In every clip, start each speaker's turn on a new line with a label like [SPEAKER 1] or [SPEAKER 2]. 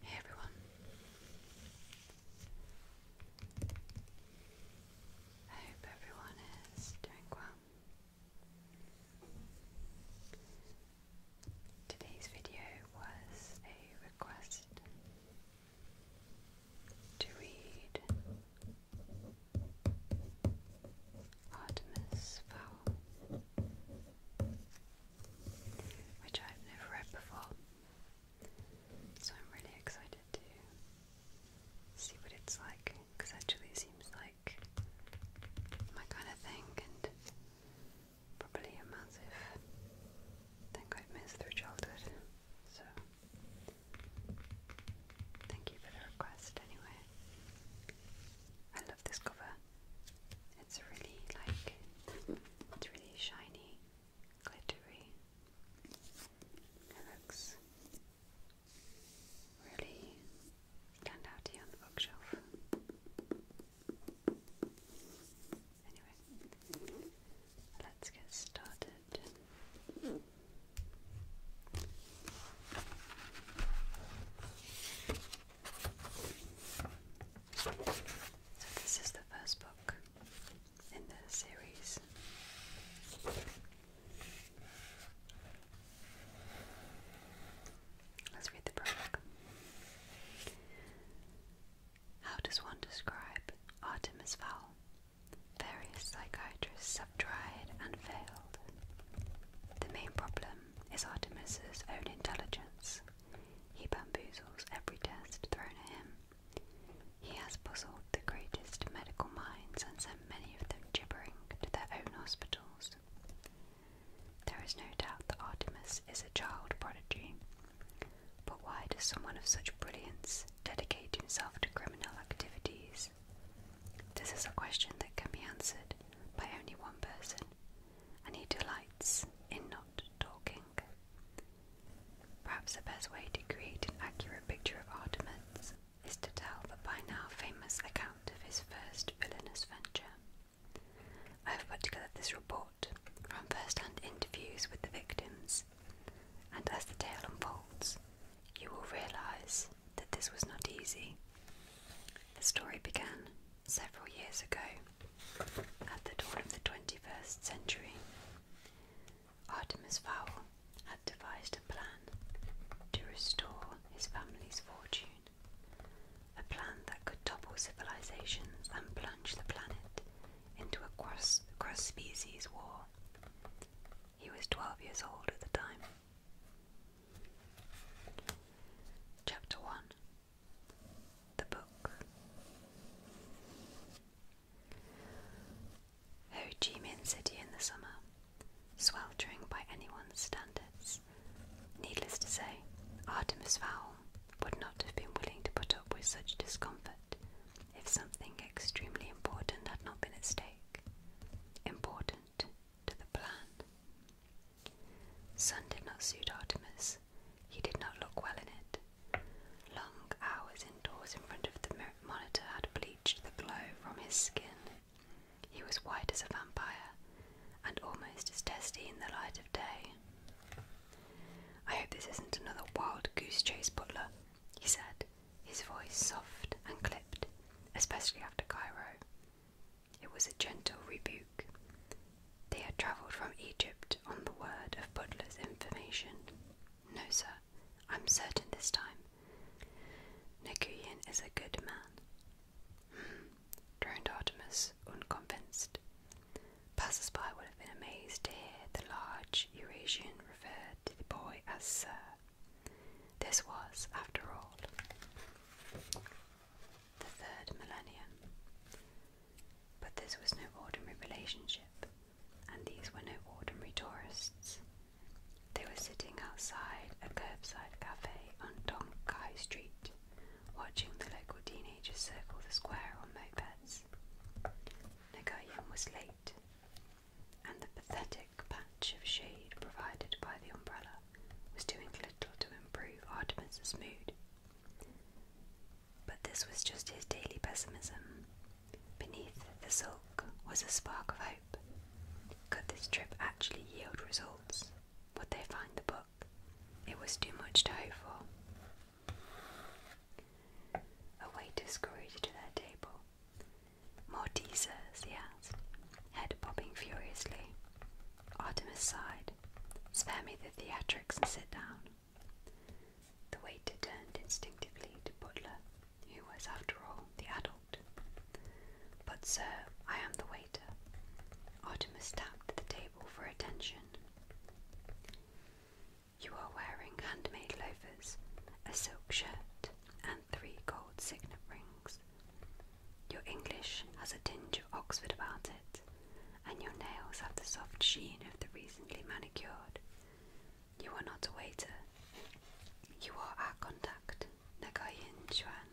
[SPEAKER 1] Hey everyone. I hope everyone is doing well. Today's video was a request to read Artemis Fowl, which I've never read before, so I'm really excited to see what it's like because actually it seems like my kind of thing probably a massive thing I've missed through childhood. So, thank you for the request anyway. I love this cover. It's really like, it's really shiny, glittery. It looks really stand out on the bookshelf. Anyway, let's get started. So, this is the first book in the series. Let's read the prologue. How does one describe Artemis Fowl? Various psychiatrists have tried and failed. The main problem is Artemis's own intelligence. He bamboozles every test thrown at him. He has puzzled the greatest medical minds and sent many of them gibbering to their own hospitals. There is no doubt that Artemis is a child prodigy. But why does someone of such brilliance dedicate himself to criminal activities? This is a question that can be answered by only one person, and he delights in not talking. Perhaps the best way to create an accurate picture of Artemis is to tell the by now famous account of his first villainous venture. I have put together this report from first hand interviews with the victims, and as the tale unfolds, you will realise that this was not easy. The story began several years ago, at the dawn of the 21st century. Artemis Fowl had devised a plan to restore his family's fortune a plan that could topple civilizations and plunge the planet into a cross, species war. He was 12 years old at the time. Chapter 1 The Book Ho City in the summer, sweltering by anyone's standards. Needless to say, Artemis Fowl would not have been willing to put up with such discomfort if something extremely important had not been at stake. Important to the plan. Sun did not suit Artemis. He did not look well in it. Long hours indoors in front of the monitor had bleached the glow from his skin he was white as a vampire, and almost as testy in the light of day. I hope this isn't another wild goose chase, Butler, he said, his voice soft and clipped, especially after Cairo. It was a gentle rebuke. They had travelled from Egypt on the word of Butler's information. No, sir, I'm certain this time. Naguyin is a good man droned Artemis, unconvinced. Passers by would have been amazed to hear the large Eurasian referred to the boy as Sir. This was, after all, the third millennium. But this was no ordinary relationship, and these were no ordinary tourists. They were sitting outside a curbside cafe on Donkai Street, watching the local teenagers circle the square on mopeds. Nagoyan was late, and the pathetic patch of shade provided by the umbrella was doing little to improve Artemis's mood. But this was just his daily pessimism. Beneath the silk was a spark of hope. Could this trip actually yield results? Would they find the book? it was too much to hope for. A waiter scurried to their table. More teasers, he asked, head bobbing furiously. Artemis sighed. Spare me the theatrics and sit down. The waiter turned instinctively to Butler, who was, after all, the adult. But, sir, I am the waiter waiter. Artemis tapped the table for attention. You are wearing handmade loafers, a silk shirt, and three gold signet rings. Your English has a tinge of Oxford about it, and your nails have the soft sheen of the recently manicured. You are not a waiter. You are our contact, Nagayin Chuan,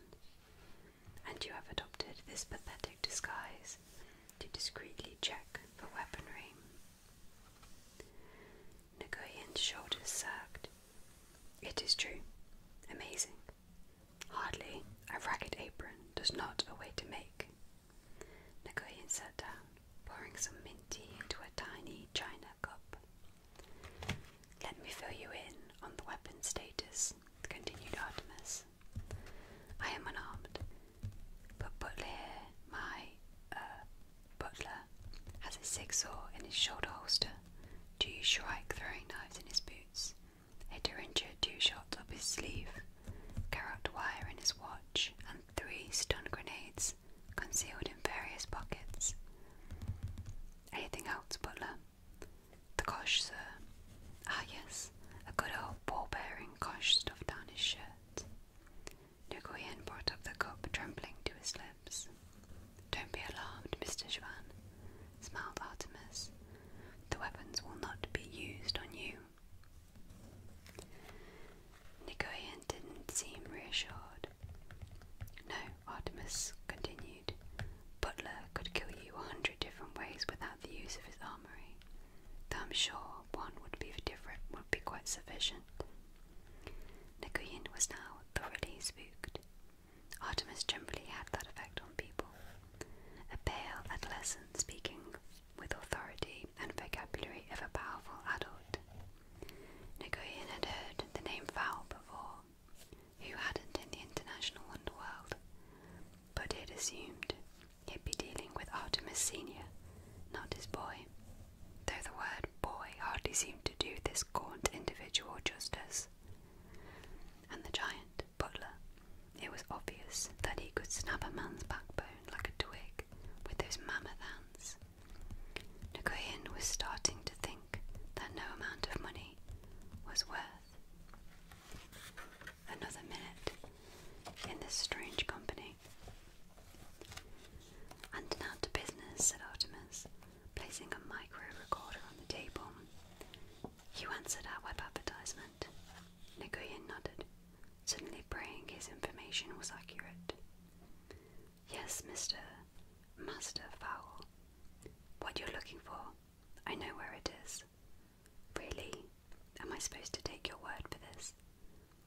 [SPEAKER 1] and you have adopted this pathetic disguise to discreetly check for weaponry. Nagoyan's shoulders sagged. It is true. Amazing. Hardly a ragged apron does not a way to make. Nagoyan sat down, pouring some mint tea into a tiny china cup. Let me fill you in on the weapon status, continued Artemis. I am unarmed, but Butler, my, uh, butler, has a six in his shoulder holster, two shrike throwing knives in his boots, a derringer two shots up his sleeve, carrot wire in his watch, and three stun grenades concealed in various pockets. Anything else, Butler? The cosh, sir. Ah, yes, a good old ball bearing cosh stuffed down his shirt. Nguyen brought up the cup, trembling to his lips. Don't be alarmed, Mr. Juan, smiled Artemis. The weapons will not be used on you. Nguyen didn't seem reassured. No, Artemis continued. Butler could kill you a hundred different ways without the use of his armory, I'm sure one would be different would be quite sufficient. Nikoiin was now thoroughly spooked. Artemis generally had that effect on people. A pale adolescent speaking with authority and vocabulary of a powerful adult. Nikoiin had heard the name foul before, who hadn't in the international underworld, but he had assumed he'd be dealing with Artemis Senior, not his boy, though the word boy hardly seemed to do this gaunt individual justice. And the giant, Butler, it was obvious that he could snap a man's backbone like a twig with those mammoth hands. Nguyen was starting to think that no amount of money was worth Another minute in this strange company. And now to business, said Artemis, placing a micro recorder on the table. You answered our web advertisement. Nagoyan nodded, suddenly praying his information was accurate. Yes, Mr. Master Fowl. What you're looking for I know where it is. Really? Am I supposed to take your word for this?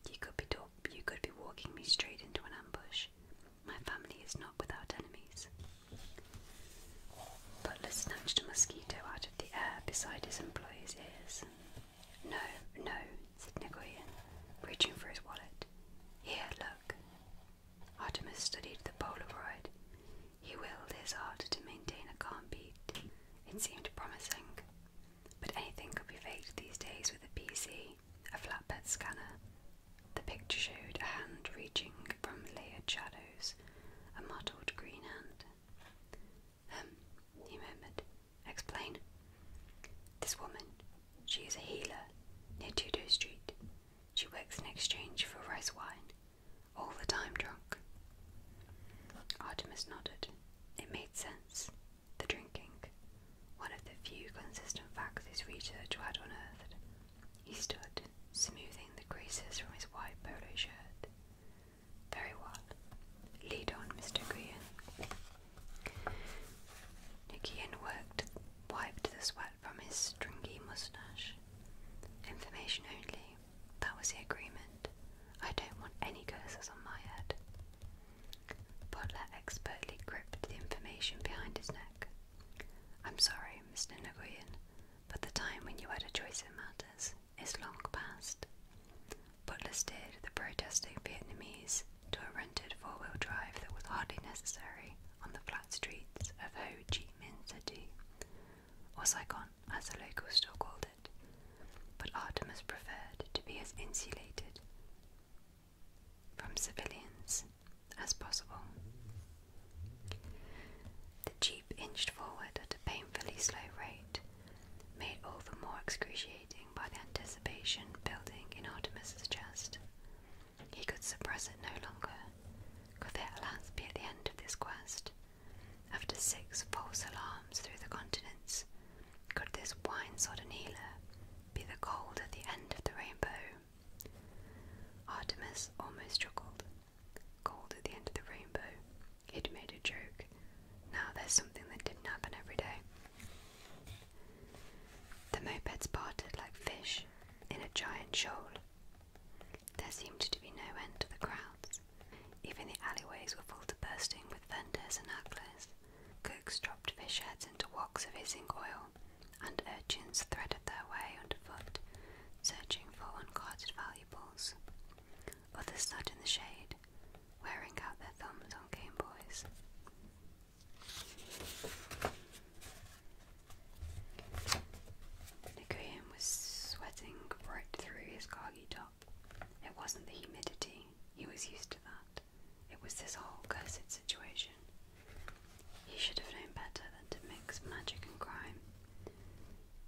[SPEAKER 1] You could be talk you could be walking me straight into an ambush. My family is not without enemies. Butler snatched a mosquito out of the air beside his employer's ears. No, no, said Nicoyan, reaching for his wallet. Here, look. Artemis studied the Polaroid. He willed his heart to maintain a calm beat. It seemed promising. But anything could be faked these days with a PC, a flatbed scanner. The picture showed a hand reaching from layered shadows, a mottled green hand. Um, he murmured. Explain. This woman, she is a healer near Tudor Street. She works in exchange for rice wine all the time drunk? Artemis nodded. It made sense. The drinking, one of the few consistent facts his research had unearthed. He stood, smoothing the creases from his white polo shirt. Very well. Lead on, Mr. Green. Nikian worked, wiped the sweat from his stringy moustache. Information only. That was the agreement. I don't want any curses on my head. Butler expertly gripped the information behind his neck. I'm sorry, Mr. Nguyen, but the time when you had a choice in matters is long past. Butler steered the protesting Vietnamese to a rented four-wheel drive that was hardly necessary on the flat streets of Ho Chi Min City, or Saigon as the locals still called it, but Artemis preferred to be as insulated from civilians as possible. The jeep inched forward at a painfully slow rate, made all the more excruciating by the anticipation building in Artemis's chest. He could suppress it no longer. Could there at last be at the end of this quest? After six false alarms through the continents, could this wine sodden healer be the gold at the end of the rainbow? Artemis almost chuckled. Gold at the end of the rainbow. He'd made a joke. Now there's something that didn't happen every day. The mopeds parted like fish in a giant shoal. There seemed to be no end to the crowds. Even the alleyways were full to bursting with vendors and hagglers. Cooks dropped fish heads into woks of hissing oil, and urchins threaded their way underfoot, searching for unguarded valuables. Others sat in the shade, wearing out their thumbs on Game Boys. Nagoyan was sweating right through his khaki top. It wasn't the humidity, he was used to that. It was this whole cursed situation. He should have known better than to mix magic and crime.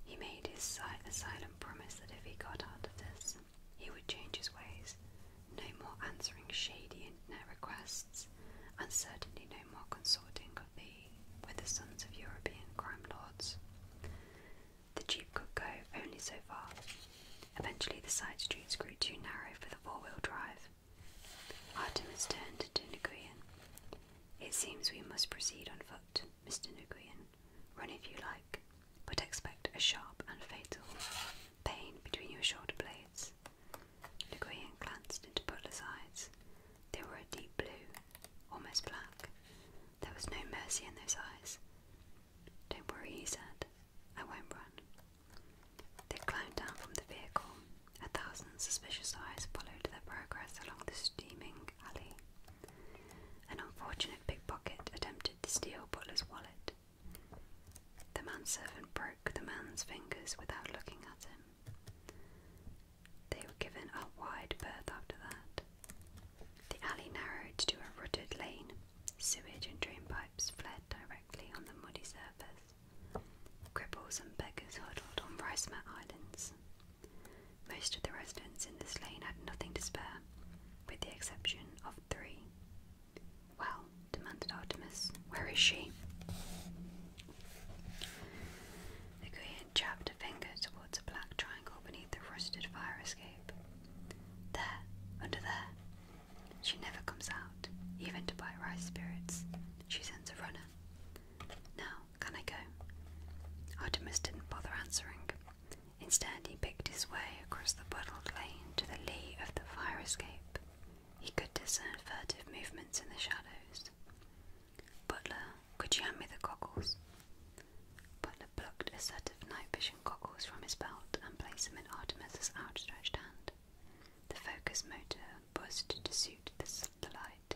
[SPEAKER 1] He made his silent promise that if he got out of this, he would change his ways. No more answering shady internet requests, and certainly no more consorting with the were the sons of European crime lords. The Jeep could go only so far. Eventually, the side streets grew too narrow for the four wheel drive. Artemis turned to Nguyen. It seems we must proceed on foot, Mr. Nguyen. Run if you like, but expect a sharp and fatal pain between your shoulder blades. Legrand glanced into Butler's eyes. They were a deep blue, almost black. There was no mercy in those eyes. Don't worry, he said. I won't run. They climbed down from the vehicle. A thousand suspicious eyes followed their progress along the steaming alley. An unfortunate pickpocket attempted to steal Butler's wallet. The manservant broke the man's fingers without looking at him. They were given a wide berth after that. The alley narrowed to a rutted lane. Sewage and drain pipes fled directly on the muddy surface. Cripples and beggars huddled on rice mat islands. Most of the residents in this lane had nothing to spare, with the exception of three. Well, demanded Artemis, where is she? The Korean jabbed a finger towards a black triangle beneath the rusted fire escape. There, under there. She never comes out, even to buy rice spirits. She sends a runner. Now, can I go? Artemis didn't bother answering. Instead, he picked his way across the puddled lane to the lee of the fire escape. He could discern furtive movements in the shadows. Butler, could you hand me the goggles? Butler plucked a set of night vision goggles from his belt and placed them in Artemis's outstretched hand. The focus motor buzzed to suit the, light.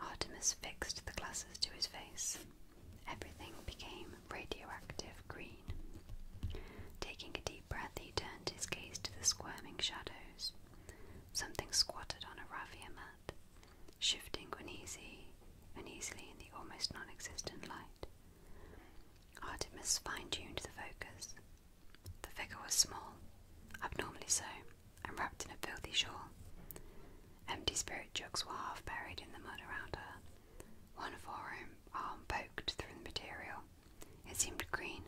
[SPEAKER 1] Artemis fixed the glasses to his face. Everything became radioactive green. Taking a breath, he turned his gaze to the squirming shadows. Something squatted on a raffia mat, shifting when and easily in the almost non existent light. Artemis fine tuned the focus. The figure was small, abnormally so, and wrapped in a filthy shawl. Empty spirit jugs were half buried in the mud around her. One forearm poked through the material. It seemed green,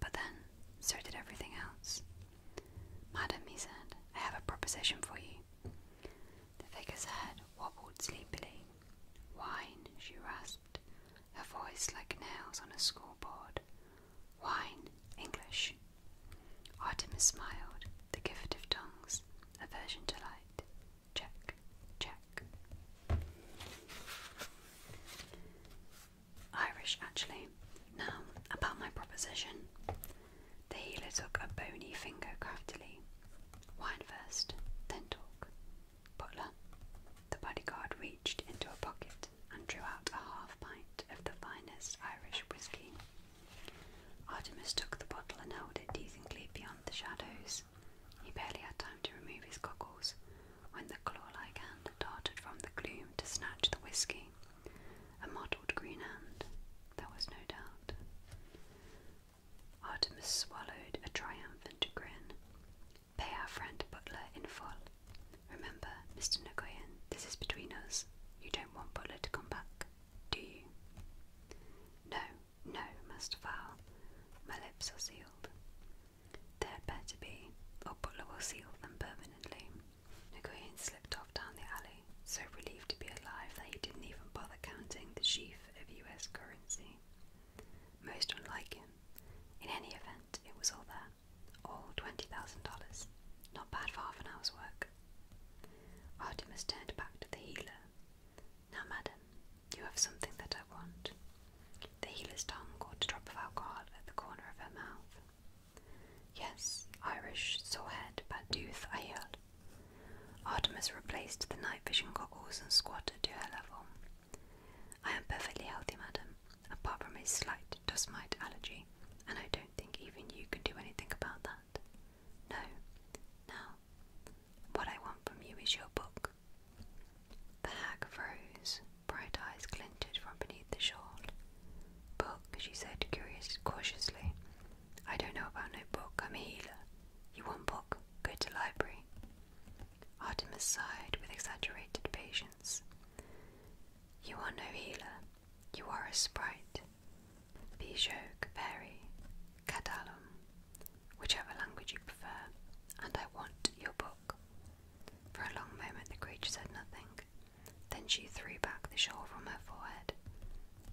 [SPEAKER 1] but then, so did everything else. Madam, he said, I have a proposition for you. The vicar's head wobbled sleepily. Wine, she rasped, her voice like nails on a scoreboard. Wine, English. Artemis smiled, the gift of tongues, aversion to light. Check, check. Irish actually. Now, about my proposition. The healer took a bony finger craftily. Wine first, then talk. Butler. The bodyguard reached into a pocket and drew out a half pint of the finest Irish whiskey. Artemis took the bottle and held it decently beyond the shadows. He barely had time to remove his goggles when the claw-like hand darted from the gloom to snatch the whisky. A mottled green hand, there was no doubt. Artemis swallowed a triumphant grin. Pay our friend Butler in full. Remember, Mr. Nagoyan, this is between us. You don't want Butler to come back, do you? No, no, Master Fowl. My lips are sealed. They'd better be, or Butler will seal them permanently. Nguyen slipped off down the alley, so relieved to be alive that he didn't even bother counting the sheaf of US currency. Most unlike him. In any event, it was all there. All $20,000. Not bad for half an hour's work. Artemis turned back to the healer. Now, madam, you have something that I want. The healer's tongue caught a drop of alcohol at the corner of her mouth. Yes, Irish, sore head, bad tooth, I heard. Artemis replaced the night vision goggles and squatted to her level. I am perfectly healthy, madam, apart from a slight dust mite allergy, and I don't think even you can do anything about that. No. Now, what I want from you is your book. The hag froze, bright eyes glinted from beneath the shawl. Book, she said curious cautiously. I don't know about no book, I'm a healer. You want book? Go to library. Artemis sighed with exaggerated patience. You are no healer. You are a sprite. Bijok, fairy, Cadalum, whichever language you prefer, and I want your book. For a long moment the creature said nothing. Then she threw back the shawl from her forehead.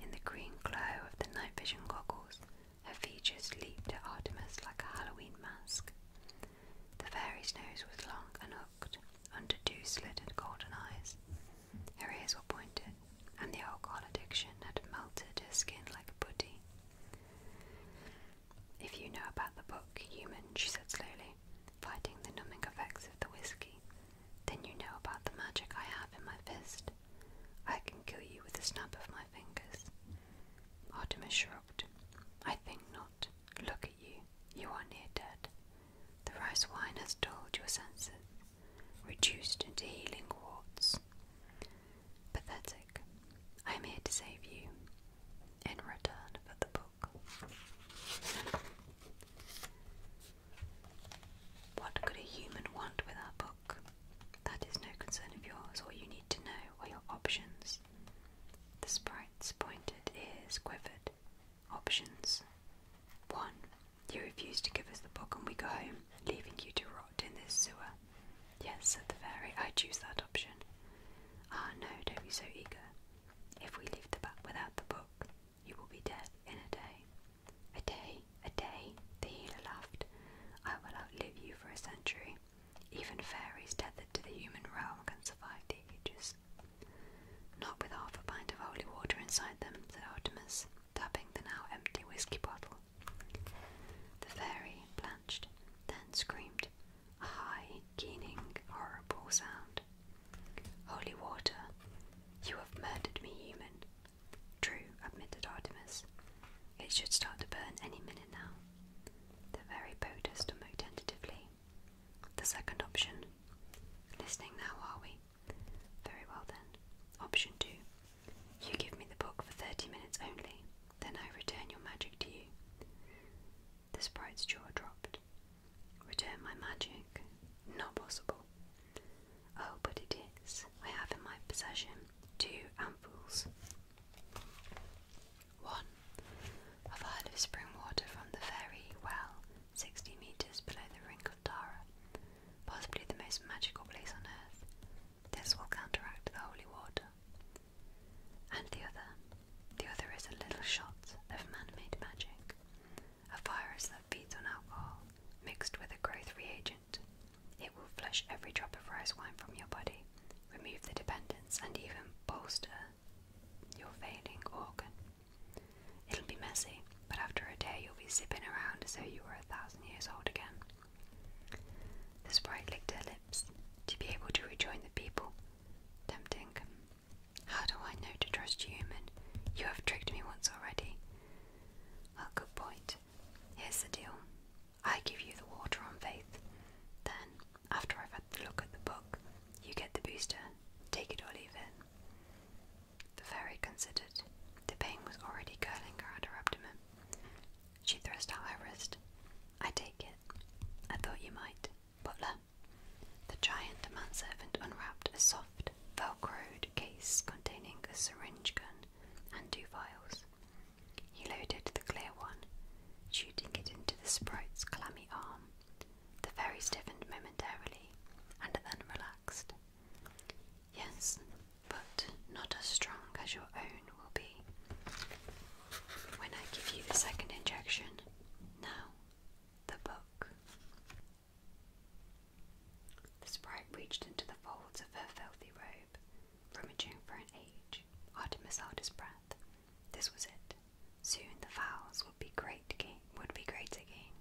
[SPEAKER 1] In the green glow of the night vision goggles, her features leaped at Artemis like a Halloween mask. The fairy's nose was long and hooked, under two slitted golden eyes. Her ears were pointed, and the alcohol addiction had melted her skin like a putty. If you know about the book, human, she said slowly, fighting the numbing effects of the whiskey, then you know about the magic I have in my fist. I can kill you with the snap of my fingers. Artemis shrugged. I think not. Look at you. You are near dead. The rice wine has dulled your senses, reduced into healing warts. Pathetic. I am here to save you in return for the book. What could a human want with our book? That is no concern of yours. All you need to know are your options. The sprite's pointed ears quivered. Options. 1. You refuse to give us the book and we go home, leaving you to rot in this sewer. Yes, said the fairy, I choose that option. Ah, no, don't be so eager. If we leave the bat without the book, you will be dead in a day. A day, a day, the healer laughed. I will outlive you for a century. Even fairies tethered to the human realm can survive the ages. Not with half a pint of holy water inside them, said Artemis, tapping the now empty whiskey bottle. The fairy blanched, then screamed a high, keening, horrible sound. Holy water, you have murdered me, human. True, admitted Artemis. It should start to burn any minute now. The very boater stomach tentatively. The second option. Listening now, are we? Very well then. Option two. You give me the book for thirty minutes only. Then I return your magic to you. The sprite's jaw dropped. Return my magic? Not possible. Oh, but it is. I have in my possession two ampules. One, of a of spring water from the fairy well, 60 meters below the Ring of Tara, possibly the most magical place on earth. This will counteract the holy water. And the other. The other is a little shot of man made magic, a virus that feeds on alcohol mixed with a growth reagent. It will flush every drop of rice wine from your body, remove the dependence, and even bolster your failing organ. It'll be messy, but after a day you'll be zipping around as though you were a thousand years old again. The sprite licked her lip to be able to rejoin the people. Tempting. How do I know to trust you, human? You have tricked me once already. A good point. Here's the deal. I give you the water on faith. Then, after I've had the look at the book, you get the booster. Take it or leave it. The fairy considered. The pain was already curling around her abdomen. She thrust out her wrist. I take it. I thought you might. Butler. The giant manservant unwrapped a soft, velcroed case containing a syringe gun and two vials. He loaded the clear one, shooting it into the sprite's clammy arm. The fairy stiffened momentarily and then relaxed. Yes, but not as strong as your own will be when I give you the second injection. Now, the book. The sprite reached into the folds of her filthy robe, rummaging for an age. Artemis held his breath. This was it. Soon the fowls would be great again. Would be great again.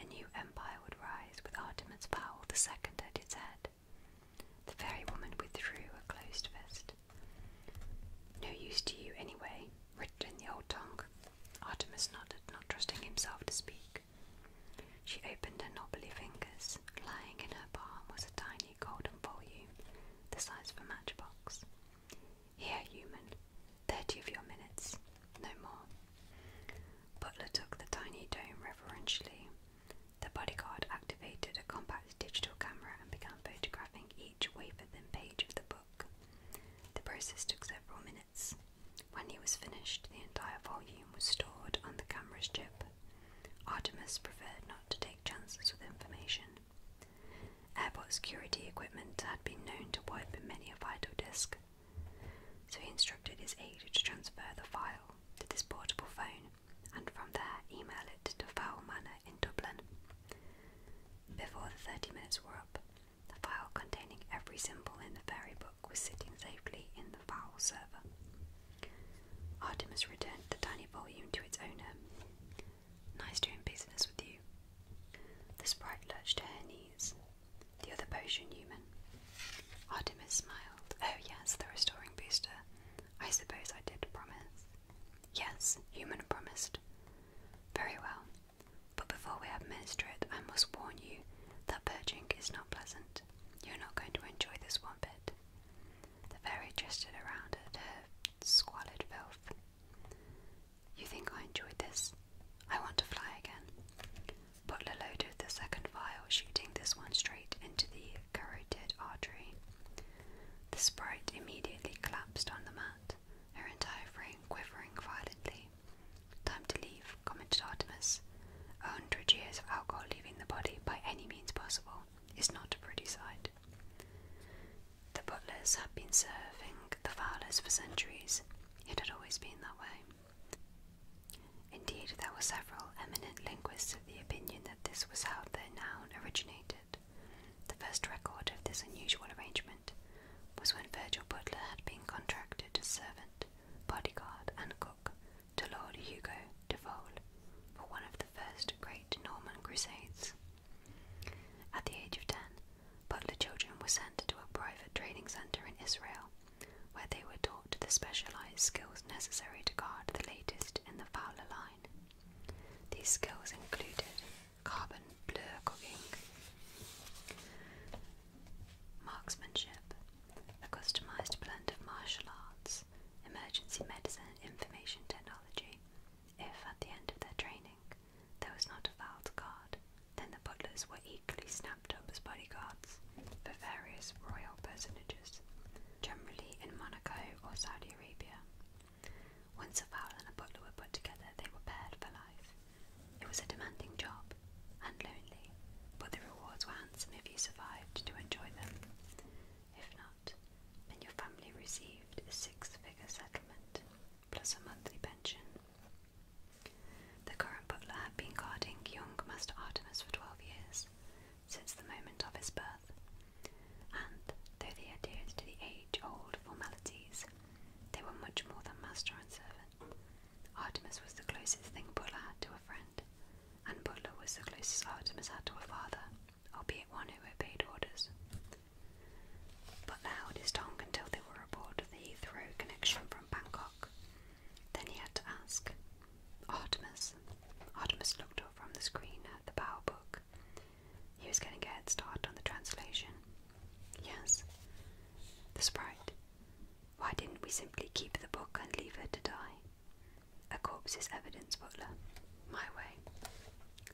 [SPEAKER 1] A new empire would rise with Artemis fowl the second at its head. The fairy woman withdrew a closed fist. No use to you anyway, written in the old tongue. Artemis nodded, not trusting himself to speak. She opened her knobbly fingers. Lying in her palm was a tiny golden volume, the size of a matchbox. Here, human, thirty of your minutes, no more. Butler took the tiny dome reverentially the bodyguard activated a compact digital camera and began photographing each wafer-thin page of the book. The process took several minutes. When he was finished, the entire volume was stored on the camera's chip. Artemis preferred not to take chances with information. Airport security equipment had been known to wipe many a vital disk, so he instructed his aide to transfer the file to this portable phone and from there email it to Fowl Manor in Dublin. Before the 30 minutes were up, the file containing every symbol in the fairy book was sitting safely in the Fowl server. Artemis returned the tiny volume to its owner. Nice doing business with you. The sprite lurched to her knees. The other potion human. Artemis smiled. Oh, yes, the restoring booster. I suppose I did promise. Yes, human promised. Very well. But before we administer it, I must warn you that purging is not pleasant. You're not going to enjoy this one bit. The fairy twisted around at her squalid filth. You think I enjoyed this? I want to fly again. Butler loaded the second vial, shooting this one straight into the carotid artery. The sprite immediately collapsed on the mat, her entire frame quivering violently. Time to leave, commented Artemis. A hundred years of alcohol leaving the body by any means possible is not a pretty sight. The butlers have been serving the fowlers for centuries. It had always been that way. Indeed, there were several eminent linguists of the opinion that this was how the noun originated. The first record of this unusual arrangement was when Virgil Butler had been contracted as servant, bodyguard, and cook to Lord Hugo de Vole for one of the first great Norman crusades. At the age of ten, Butler children were sent to a private training centre in Israel, where they were taught the specialised skills necessary to guard the latest in the fowler line. These skills included carbon blur cooking, marksmanship, a customized blend of martial arts, emergency medicine, and information technology. If at the end of their training there was not a valid guard, then the butlers were equally snapped up as bodyguards for various royal personages, generally in Monaco or Saudi once a fowl and a butler were put together, they were paired for life. It was a demanding job and lonely, but the rewards were handsome if you survived to enjoy them. If not, then your family received a six figure settlement plus a monthly pension. The current butler had been guarding young Master Artemis for 12 years, since the moment of his birth, and though they adhered to the age-old formalities, they were much more than master and servant. Artemis was the closest thing Bulla had to a friend, and Butler was the closest Artemis had to a father, albeit one who obeyed orders. But held his tongue until they were aboard the Heathrow connection from Bangkok. Then he had to ask, Artemis. Artemis looked up from the screen at the bow book. He was getting a head start on the translation. Yes. The sprite. Why didn't we simply keep the book and leave her to die? A corpse is evidence, Butler. My way.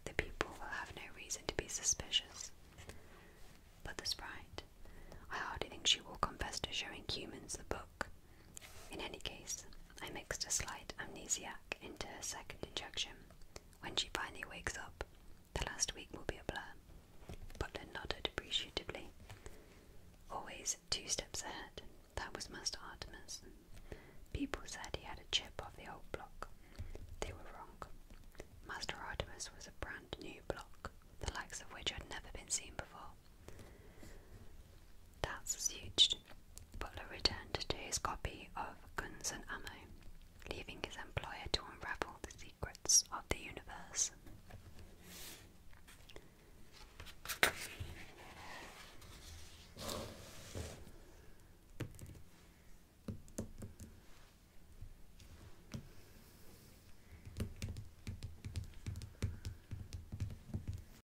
[SPEAKER 1] The people will have no reason to be suspicious. But the sprite. I hardly think she will confess to showing humans the book. In any case, I mixed a slight amnesiac into her second injection. When she finally wakes up, the last week will be a blur. Butler nodded appreciatively. Always two steps ahead. That was Master Artemis. People said he had a chip off the old block. They were wrong. Master Artemis was a brand new block, the likes of which had never been seen before. That's huge, Butler returned to his copy of Guns and Ammo, leaving his employer to unravel the secrets of the universe.